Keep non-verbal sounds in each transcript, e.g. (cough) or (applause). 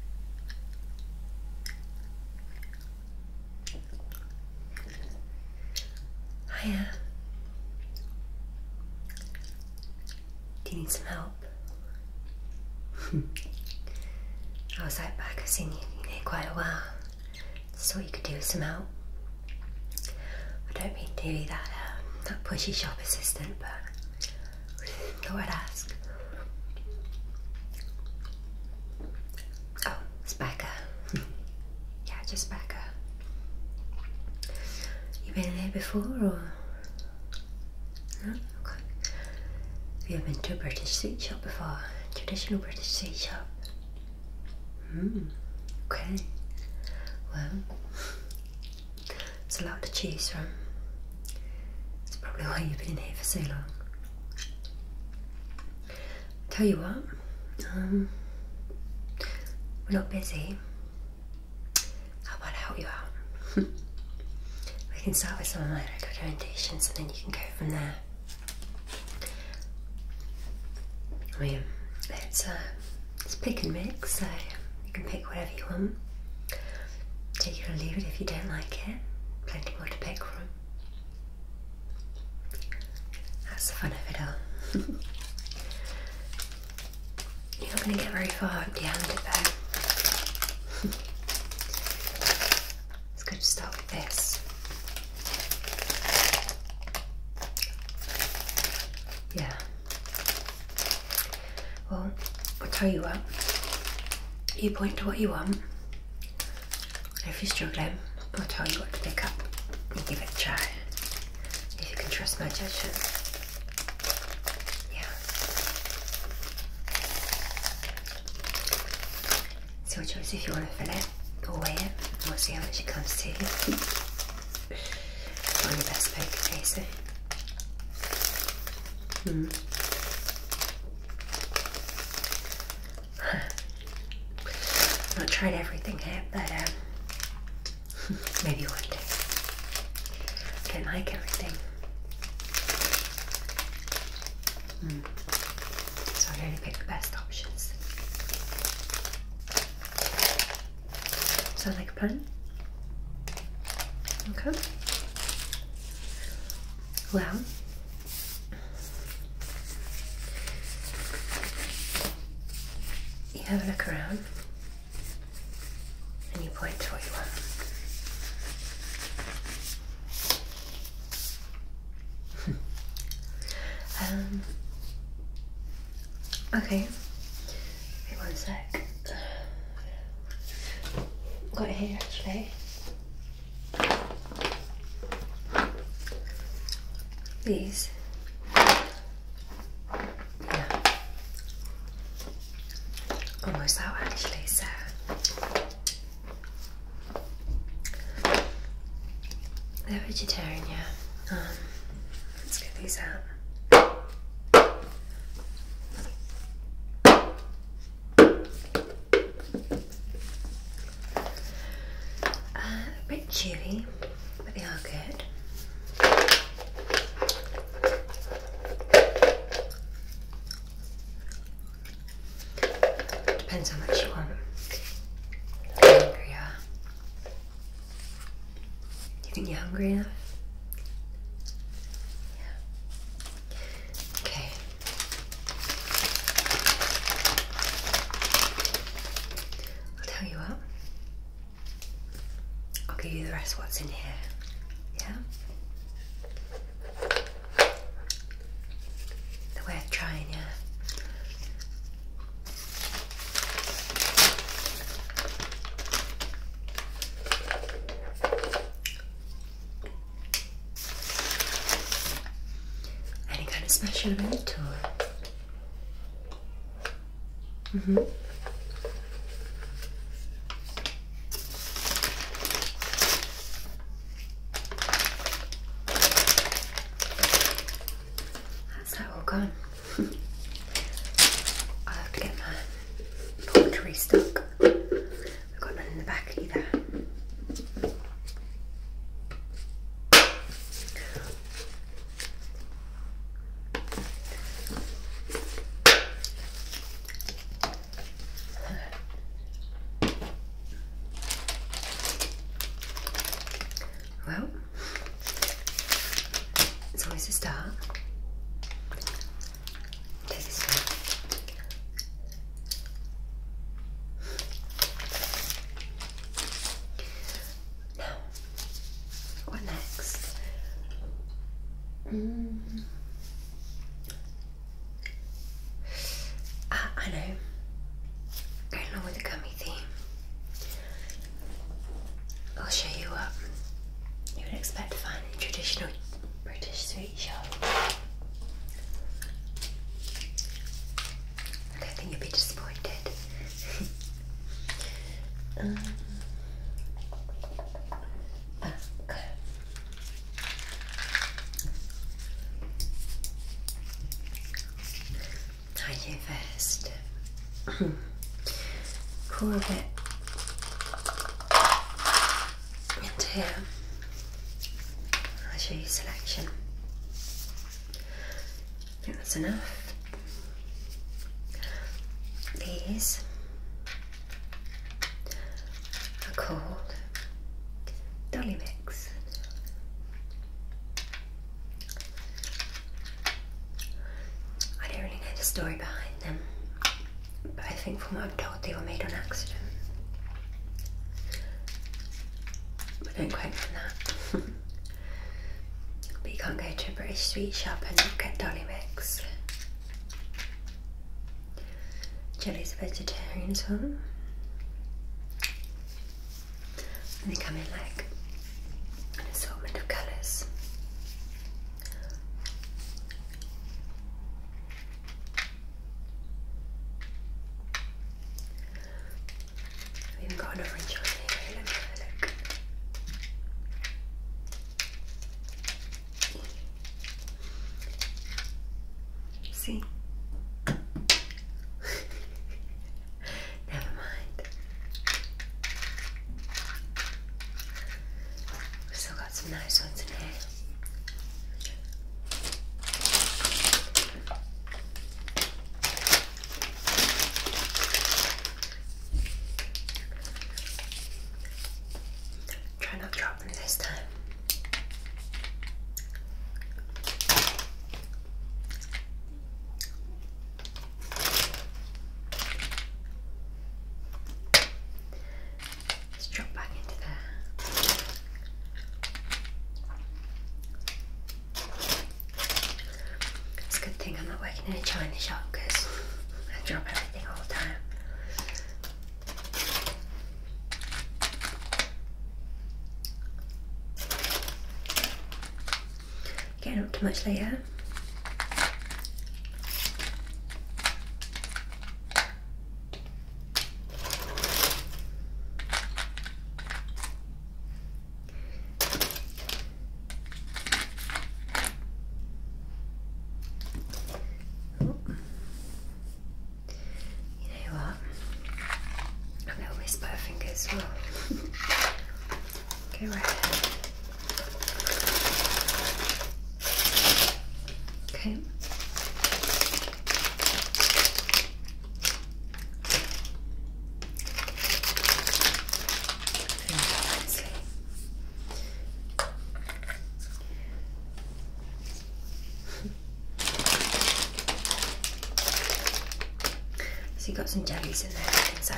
Hiya. Oh, do you need some help? (laughs) I was out back, I've seen you in here quite a while. Just thought you could do some help. I don't mean to be that, um, that pushy shop assistant, but Lord ask. Oh, Spaka. (laughs) yeah, just Spaka. You been there before or? No? Okay. We have been to a British sweet shop before. Traditional British sweet shop. Hmm. Okay. Well, there's a lot to choose from. That's probably why you've been in here for so long. Tell you what, um, we're not busy. How about I help you out? (laughs) We can start with some of my recommendations and then you can go from there. I mean, it's, uh, it's pick and mix, so you can pick whatever you want take it or leave it if you don't like it. Plenty more to pick from. That's the fun of it all. (laughs) You're not going to get very far empty-handed though. (laughs) it's good to start with this. Yeah. Well, I'll tell you what, you point to what you want. If you're struggling, I'll tell you what to pick up. You give it a try. If you can trust my judgment. Yeah. It's your choice if you want to fill it or weigh it. We'll see how much it comes to. Find the best poker faces. Hmm. (sighs) Not tried everything yet, but um, (laughs) maybe one day. I don't like everything. Hmm. So I only pick the best options. Sound like a pun? Okay. Well, you have a look around and you point to where you want. (laughs) um, okay, wait one sec. Got here actually. These. Yeah. Almost out actually, so they're vegetarian, yeah. Um, let's get these out. Uh, a bit chewy, but they are good. Depends how much you want. Hungry, yeah. You think you're hungry enough? Yeah. Okay. I'll tell you what. I'll give you the rest of what's in here. Yeah? The way trying, yeah. Any kind of special event or? Mm hmm How's that all gone? (laughs) i have to get my pottery stuck. We've got none in the back either. Well, it's always a start what next? Mm. Ah, I know. Going along with the gummy theme, I'll show you what you would expect to find in traditional British sweets ratio. Okay, I think you'll be disappointed. (laughs) um, I do first. Corbett into here. I'll show you selection. that's enough. These are called Dolly Mix. I don't really know the story behind them. But I think from what i have told they were made on accident. I don't quite on that. (laughs) but you can't go to a British sweet shop and not get dolly mix. Jelly's a vegetarian huh? And they come in like an assortment of colours. We've even got an orange on here, let me have a look. See? (laughs) Never mind. still got some nice ones in here. Try not to drop them this time. Let's back into there. It's a good thing I'm not working in a china shop because I drop everything all the time. Getting up to much later. Oh. You know what? I'm going to whisper (laughs) Go right Okay. So you got some jellies in there, things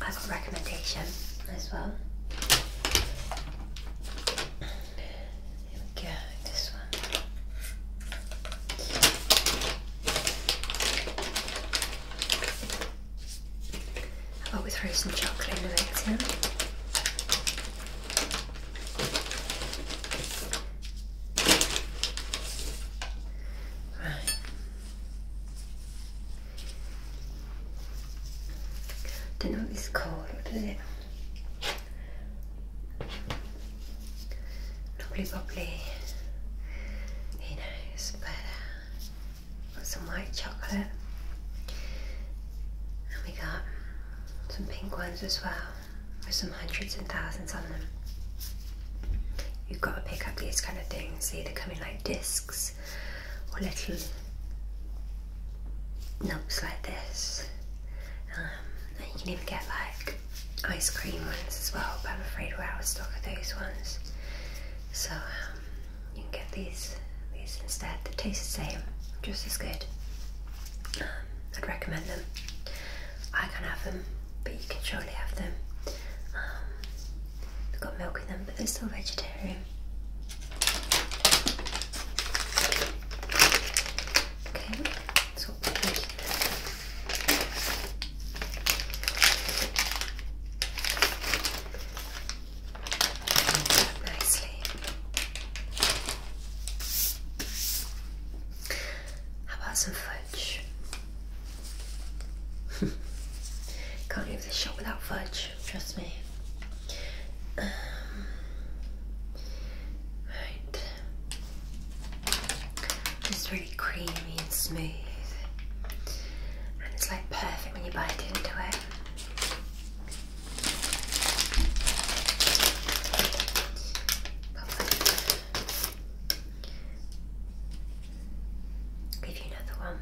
I've got recommendation as well. Here we go, this one. I thought we throw some chocolate in the mix Right. Don't know 手のウィスカーで lovely bubbly you know it's better uh, some white chocolate and we got some pink ones as well with some hundreds and thousands on them you've got to pick up these kind of things they either coming in like discs or little knobs like this um, you can even get like ice cream ones as well but I'm afraid we're out of stock of those ones so um, you can get these these instead they taste the same just as good um, I'd recommend them I can have them but you can surely have them They've got milk in them, but they're still vegetarian. Okay, so we'll put those nicely. How about some fudge? (laughs) Can't leave this shop without fudge trust me. Um, right. It's really creamy and smooth. And it's like perfect when you bite into it. Perfect. Give you another one.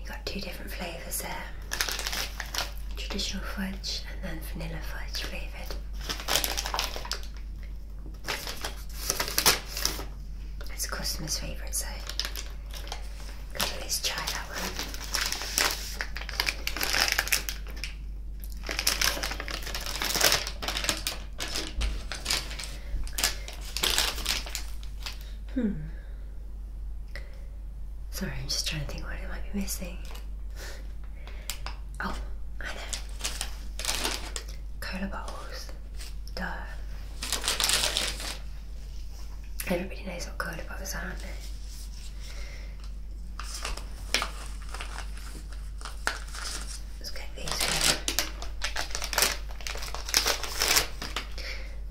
You got two different flavours there. Traditional fudge and then vanilla fudge flavoured. It's a customer's favourite, so let's try that one. Hmm. Sorry, I'm just trying to think what it might be missing. Oh, I know. Cola bottles. Duh. Everybody knows what cola bottles are, aren't they? Let's get these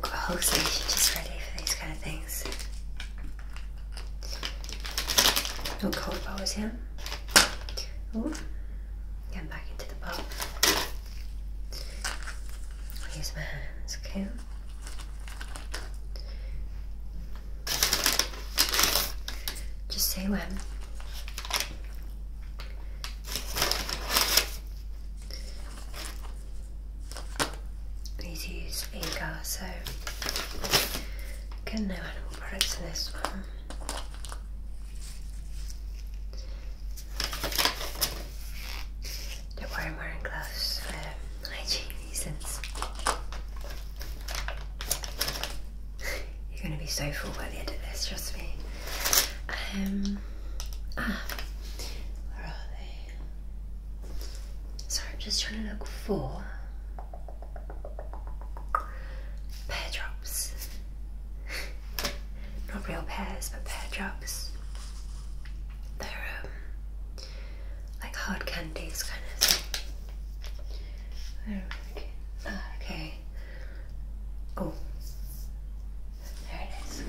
whole station just ready for these kind of things. No oh, cold bowls here. Ooh. back into the bowl. use my hands, okay? Just say when. Please need to use agar, so again no animal products in this one. Don't worry, I'm for hygiene reasons. (laughs) You're going to be so full by the end of this, trust me. Um, Ah, where are they? Sorry, I'm just trying to look for pear drops. (laughs) Not real pears, but pear drops. They're um, like hard candies, kind of. Ah, okay. Oh, there it is.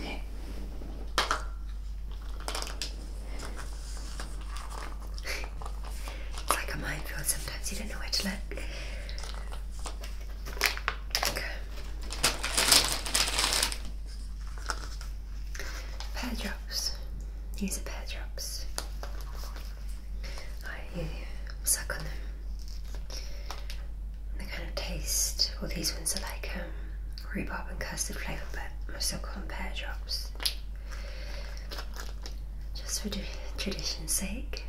Okay. like a minefield. Sometimes you don't know where to look. Okay. Pear drops. These are pear drops. I suck on the kind of taste, well these ones are like um, rhubarb and custard flavour but I still call them pear drops just for tradition's sake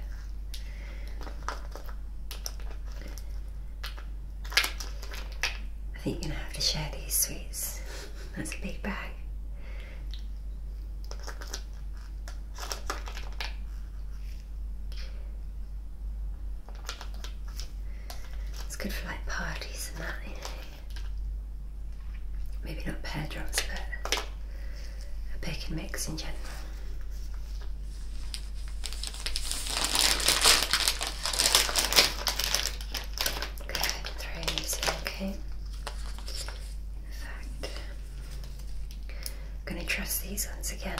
I think you're gonna have to share these sweets that's a big bag it's good for like parties and that, Maybe not pear drops, but a pick and mix in general. Good, throw okay. fact, going to trust these ones again.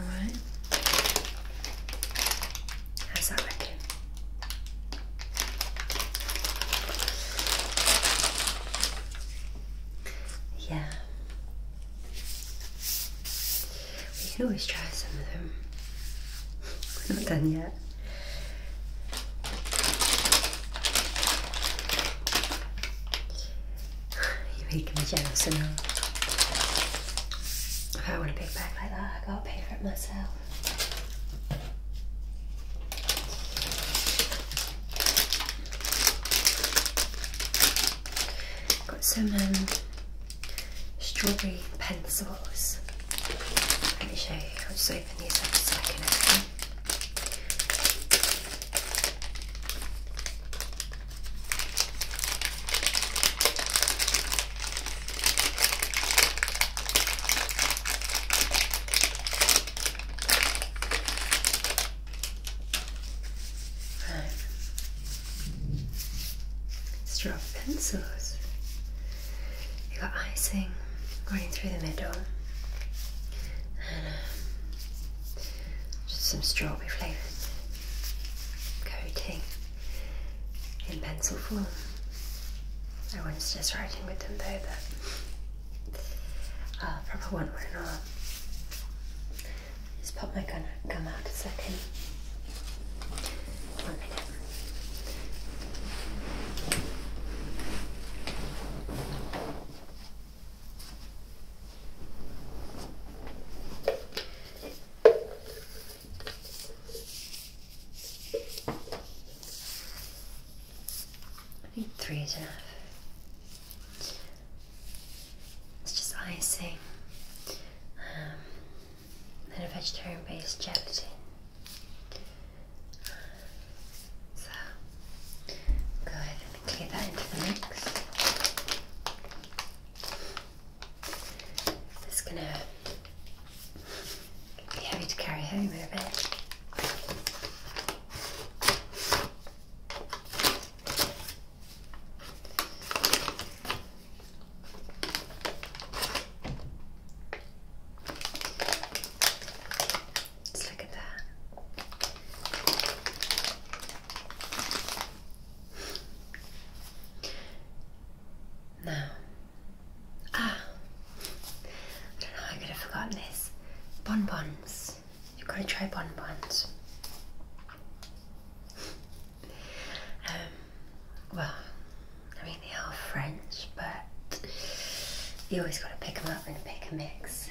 Alright. How's that reckon? Yeah. We can always try some of them. (laughs) We're not done yet. (sighs) you are make me jealous and all. If I want a big bag like that, I gotta pay for it myself. Got some um, strawberry pencils. Let me show you. I'll just open these up a second. Okay? Straw pencils. You got icing going through the middle, and um, just some strawberry flavor coating in pencil form. I was just writing with them though, but i probably want one and I'll just pop my gun, gum out a second. I need three is enough. It's just icing um, a vegetarian based gelatin. So, go ahead and clear that into the mix. It's gonna be heavy to carry home in a bit. let look at that. Now, ah, I don't know, I could have forgotten this. Bonbons. You've got to try bonbons. Um, well, I mean, they are French, but you always got to pick them up and pick a mix.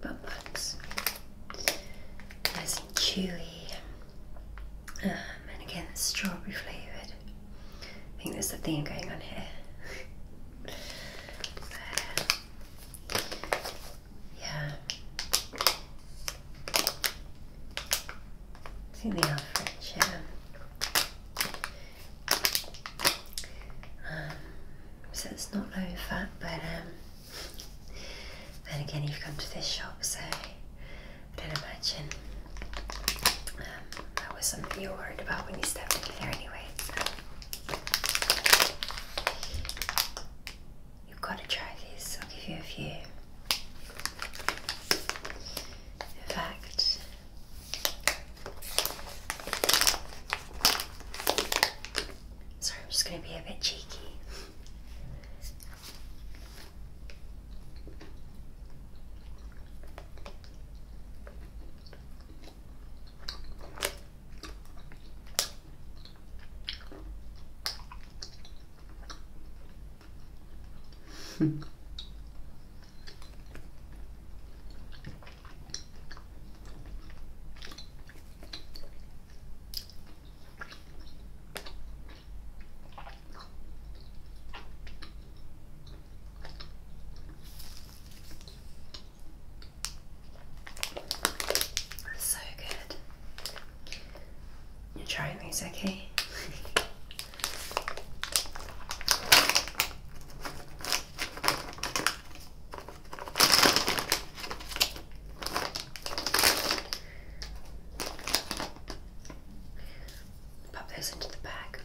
but looks nice and chewy. Um, and again, strawberry flavoured. I think there's a theme going on here. (laughs) yeah. I think they are um, so it's not low fat, but um, then again, you've come to this shop, so I don't imagine um, that was something you were worried about when you stepped in there, anyway. You've got to try these, I'll give you a few. In fact, Sorry, I'm just going to be a bit cheeky. (laughs) So good. You're trying these, okay? Pop those into the bag.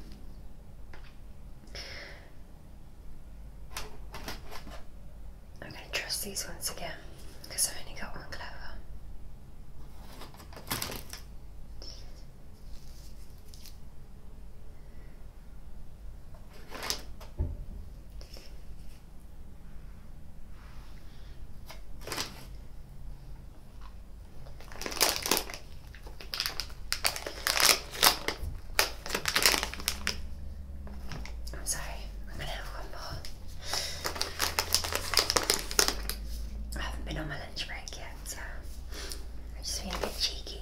I'm going to trust these once again because I've only got one clover. I'm sorry, I'm gonna have one more. I haven't been on my lunch break yet, so I'm just being a bit cheeky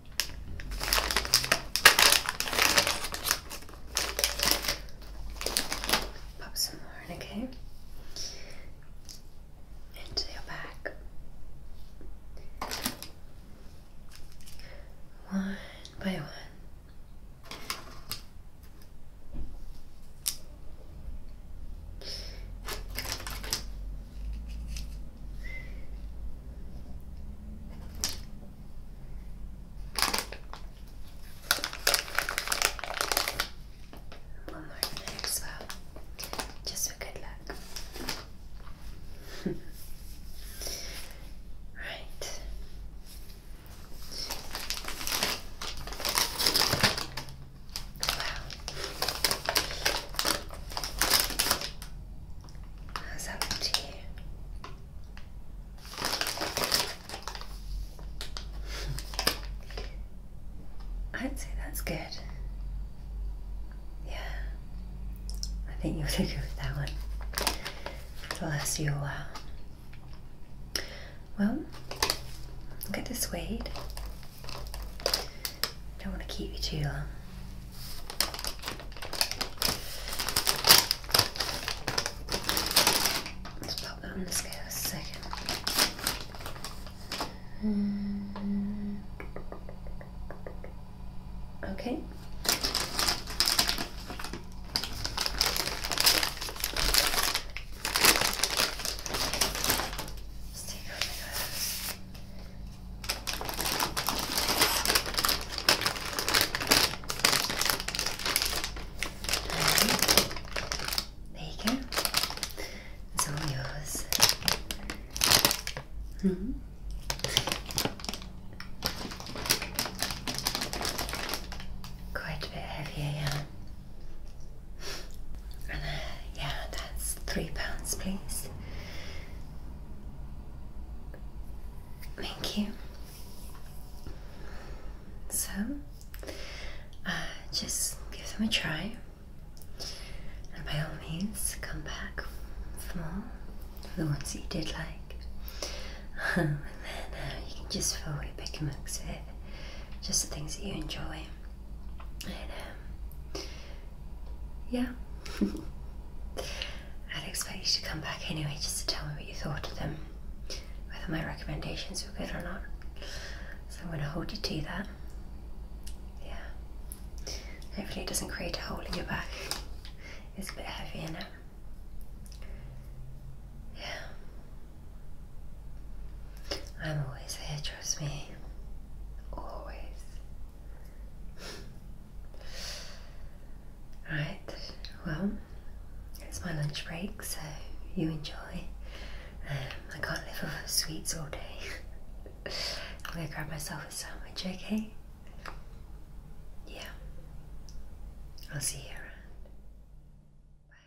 Pop some more in, okay? Into your back. One by one. One more over there just for good luck. (laughs) right. Wow. That's up to you. (laughs) I'd say that's good. Yeah, I think you'll do (laughs) good with that one. It'll last you a while. Well, I'll get the suede. Don't want to keep you too long. Let's pop that on the scale second. Mm. Okay. Let's take there you go. It's all yours. -hmm. Quite a bit heavier, yeah. Uh, yeah, that's three pounds, please. Thank you. So, uh, just give them a try, and by all means, come back for more for the ones that you did like. (laughs) and then uh, you can just forward pick and mix it, just the things that you enjoy. And um, yeah. (laughs) I'd expect you to come back anyway just to tell me what you thought of them, whether my recommendations were good or not. So I'm going to hold you to that. Yeah. Hopefully it doesn't create a hole in your back. It's a bit heavy in it. Yeah. I'm always here, trust me. Always. Right, well, it's my lunch break, so you enjoy. Um, I can't live off sweets all day. (laughs) I'm gonna grab myself a sandwich, okay? Yeah. I'll see you around. Bye.